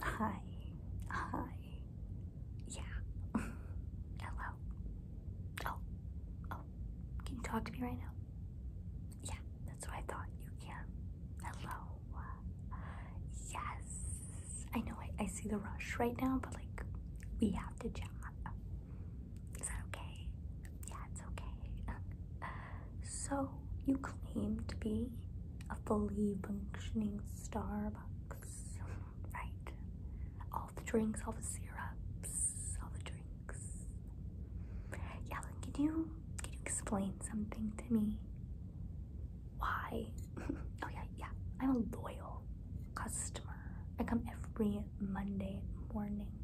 Hi. Hi. Yeah. Hello. Oh. Oh. Can you talk to me right now? Yeah, that's what I thought. You can. Hello. Yes. I know I, see the rush right now, but like, we have to chat. Is that okay? Yeah, it's okay. So you claim to be a fully functioning Starbucks, right? All the drinks, all the syrups, all the drinks. Yeah, can you can you explain something to me? Why? oh yeah, yeah. I'm a loyal customer. I come every Monday morning.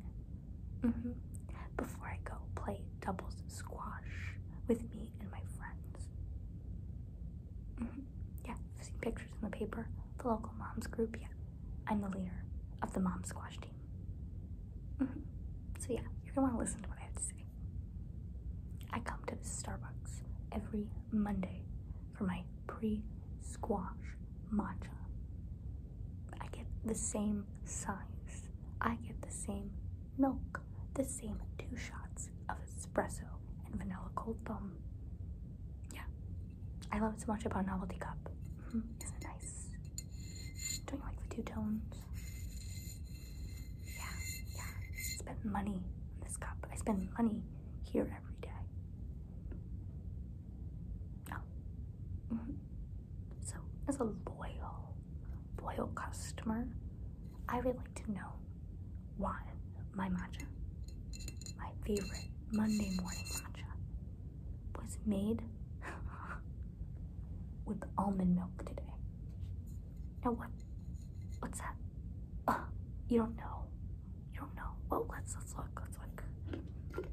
Mm -hmm. Before I go play doubles squash with me and my friends. Yeah, I've seen pictures in the paper, the local moms group. Yeah, I'm the leader of the mom squash team. So, yeah, you're gonna wanna listen to what I have to say. I come to this Starbucks every Monday for my pre squash matcha. I get the same size, I get the same milk the same two shots of espresso and vanilla cold foam. Yeah, I love so much about Novelty Cup. Mm-hmm. Isn't it nice? Don't you like the two tones? Yeah, yeah. I spend money on this cup. I spend money here every day. Oh. Mm -hmm. So, loyal loyal customer, I would like to know why my matcha, my favorite Monday morning matcha, was made with almond milk today. Now what? What's that? you don't know. You don't know. Well, let's let's look. Let's look.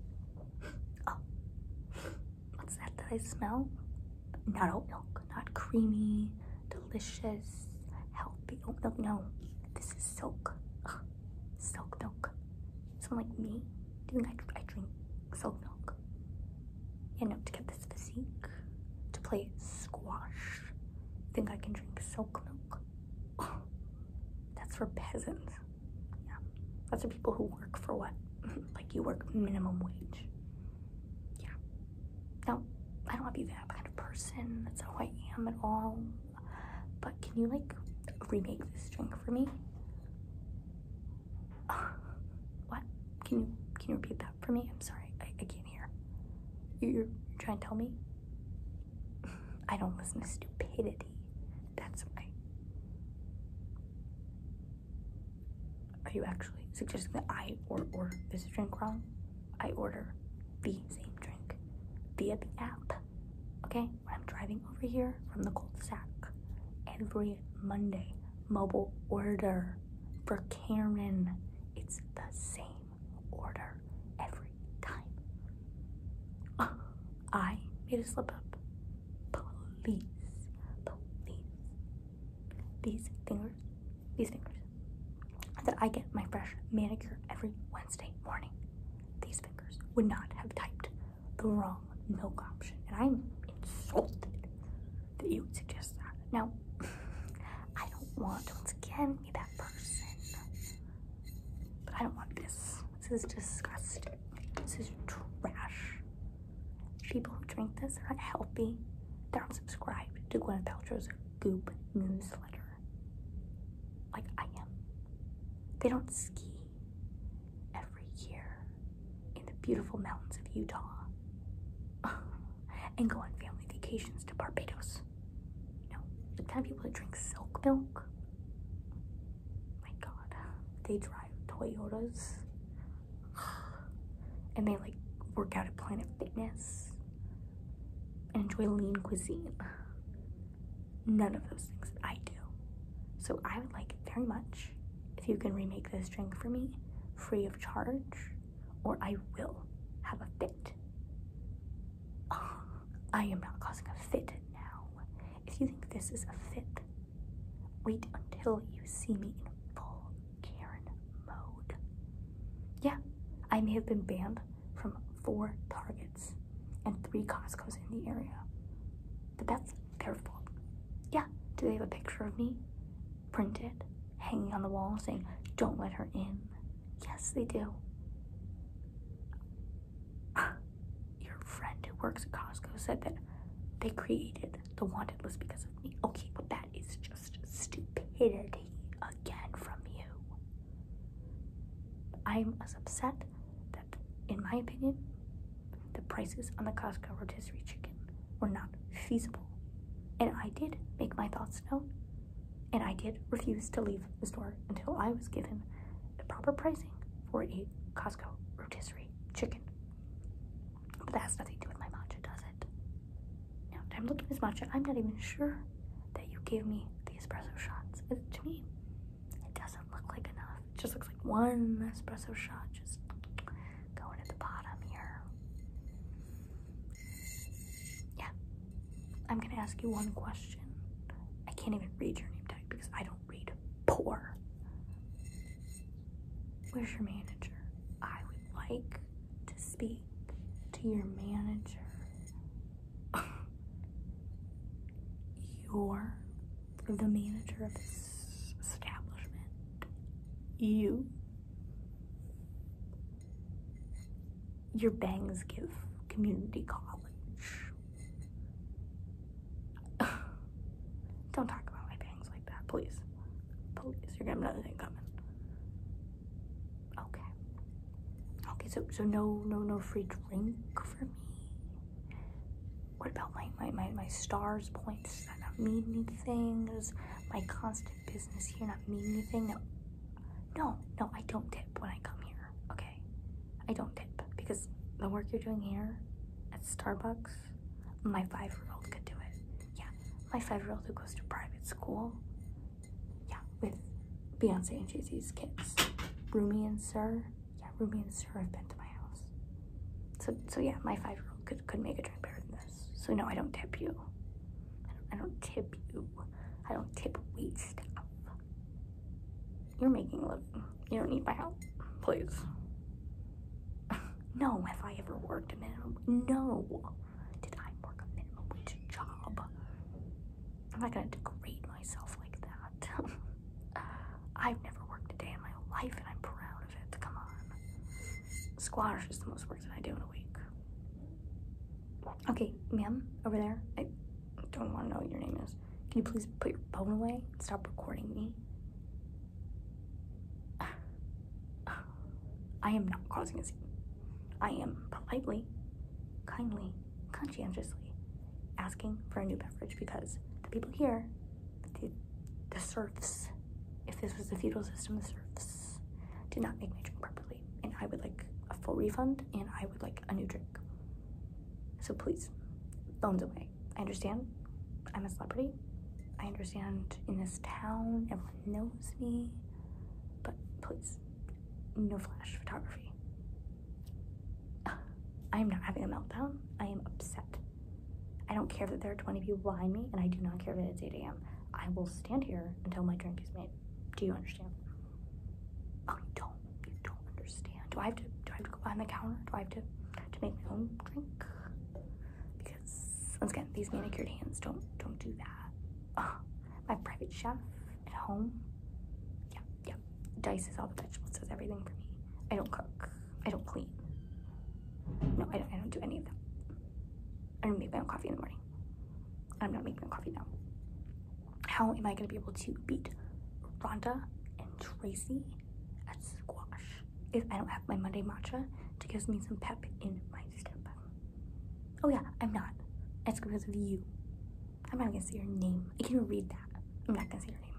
Oh what's that that I smell? Not oat milk, not creamy, delicious, healthy oat milk. No, this is silk. Ugh, silk milk. Someone like me, do you think I, I drink silk milk? Yeah, no, to get this physique, to play squash. You think I can drink silk milk? that's for peasants. Yeah, that's for people who work for what? like you work minimum wage. Yeah. No, I don't want to be that kind of person. That's how I am at all. But can you like remake this drink for me? what? Can you can you repeat that for me? I'm sorry, I, can't hear. you you're trying to tell me? I don't listen to stupidity. That's why. Are you actually suggesting that I or order this drink wrong? I order the same drink via the app. Okay? I'm driving over here from the cul de every Monday. Mobile order for Cameron. It's the same order every time. I made a slip up. Please, please. These fingers, these fingers that I get my fresh manicure every Wednesday morning. These fingers would not have typed the wrong milk option, and I'm insulted that you would suggest that. Now, I don't want once again be that person, but I don't want this. This is disgusting. This is trash. People who drink this are not healthy. They're unsubscribed to Gwyneth Paltrow's Goop newsletter. Like I am. They don't ski every year in the beautiful mountains of Utah and go on family vacations to Barbados. No, the kind of people that drink silk milk my god, they drive Toyotas and they like work out at Planet Fitness and enjoy lean cuisine. None of those things that I do. So I would like it very much if you can remake this drink for me free of charge, or I will have a fit. I am not causing a fit now. If you think this is a fit, Wait until you see me in full Karen mode. Yeah, I may have been banned from four Targets and three Costco's in the area, but that's their fault. Yeah, do they have a picture of me printed, hanging on the wall saying, don't let her in? Yes, they do your friend who works at Costco said that they created the wanted list because of me. Okay, but that is just stupidity again from you. I'm as upset that, in my opinion, the prices on the Costco rotisserie chicken were not feasible. And I did make my thoughts known, and I did refuse to leave the store until I was given the proper pricing 4.8 Costco rotisserie chicken. But that has nothing to do with my matcha, does it? Now, I'm looking at this matcha. I'm not even sure that you gave me the espresso shots. It, to me, it doesn't look like enough. It just looks like one espresso shot just going at the bottom here. Yeah. I'm going to ask you one question. I can't even read your name tag because I don't read poor. Where's your manager? I would like to speak to your manager. You're the manager of this establishment. You. Your bangs give community college Don't talk about my bangs like that, please. Please, you're getting to another thing coming. Okay. Okay, so so no no no free drink for me. What about my my, my, my stars points? Does that not mean anything? Does my constant business here not mean anything? No. No, no, I don't tip when I come here. Okay. I don't tip because the work you're doing here at Starbucks, my five year old could do it. Yeah, my five year old who goes to private school. Yeah, with Beyonce and Jay Z's kids. Rumi and Sir. Yeah, Rumi and Sir have been to my house. So, so yeah, my five year old could, could make a drink better than this. So, no, I don't tip you. I don't, tip you. I don't tip wait stuff. You're making a living. You don't need my help. Please. no, if I ever worked a minimum? No. Did I work a minimum wage job? I'm not gonna degrade myself like that. I've never worked a day in my life and I'm proud of it. Come on. Squash is the most work that I do in a week. Okay, ma'am, over there. I don't want to know your name is. Can you please put your phone away stop recording me? I am not causing a scene. I am politely, kindly, conscientiously asking for a new beverage because the people here, the, the serfs, if this was the feudal system, the serfs did not make my drink properly. And I would like a full refund and I would like a new drink. So please, phones away. I understand I'm a celebrity. I understand in this town everyone knows me. But please, no flash photography. I am not having a meltdown. I am upset. I don't care that there are 20 people behind me, and I do not care that it's 8 a.m. I will stand here until my drink is made. Do you understand? Oh, don't. You don't understand. Do I have to? Do I have to go behind the counter? Do I have to to make my own drink? Because once again, these manicured hands don't don't do that. my private chef at home. Yeah, yeah. Dices all the vegetables. Does everything for me. I don't cook. I don't clean. No, I don't, I don't do any of that. I don't make my own coffee in the morning. I'm not making my own coffee now how am I going to be able to beat Rhonda and Tracy at squash if I don't have my Monday matcha to give me some pep in my step? Oh yeah, I'm not. It's because of you. I'm not going to say your name. I can read that. I'm not going to say your name.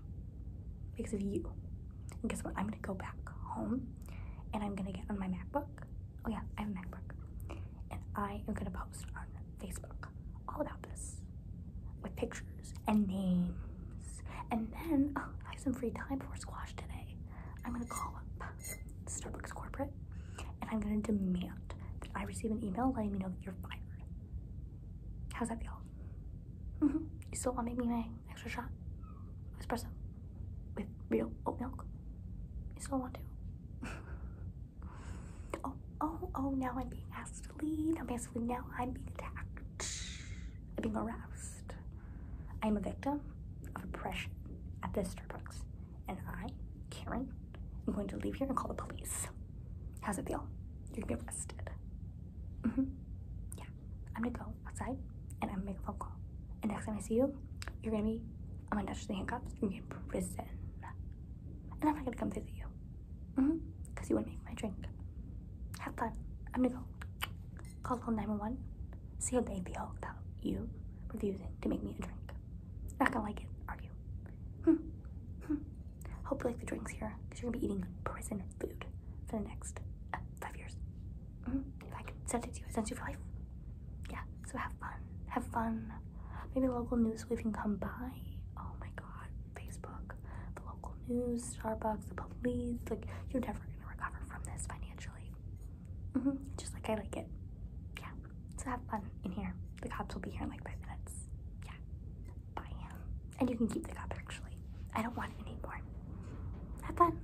Because of you. And guess what? I'm going to go back home and I'm going to get on my MacBook. Oh yeah, I have a MacBook. And I am going to post on Facebook all about this with pictures and names. And then oh, I have some free time for squash today. I'm gonna call up Starbucks corporate and I'm gonna demand that I receive an email letting me know that you're fired. How's that feel? -hmm. You still want to make me my extra shot espresso with real oat milk? You still want to? Oh, oh, oh, now I'm being asked to leave. I'm asked to Now I'm being attacked. I'm being aroused. I'm a victim of oppression at this Starbucks. And I, Karen, i am going to leave here and call the police. How's it feel? You're gonna be arrested. Mm hmm Yeah. I'm gonna go outside and I'm gonna make a phone call. And next time I see you, you're gonna be I'm gonna attach the handcuffs and in prison. And I'm not gonna come visit you. Mm-hmm. Cause you wouldn't make my drink. Have fun. I'm gonna go call call 911. See how they feel about you refusing to make me a drink. Not gonna like it, are you? Hmm. Hope you like the drinks here, because you're gonna be eating prison food for the next uh, five years. Mm-hmm. If I could send it to you, I sentence you for life yeah, so have fun. Have fun. Maybe local news we can come by. Oh my god, Facebook, the local news, Starbucks, the police. Like, you're never gonna recover from this financially. Mm -hmm. Just like I like it. Yeah, so have fun in here. The cops will be here in like five minutes. Yeah, bye. And you can keep the cop actually. I don't want it anymore. Have fun.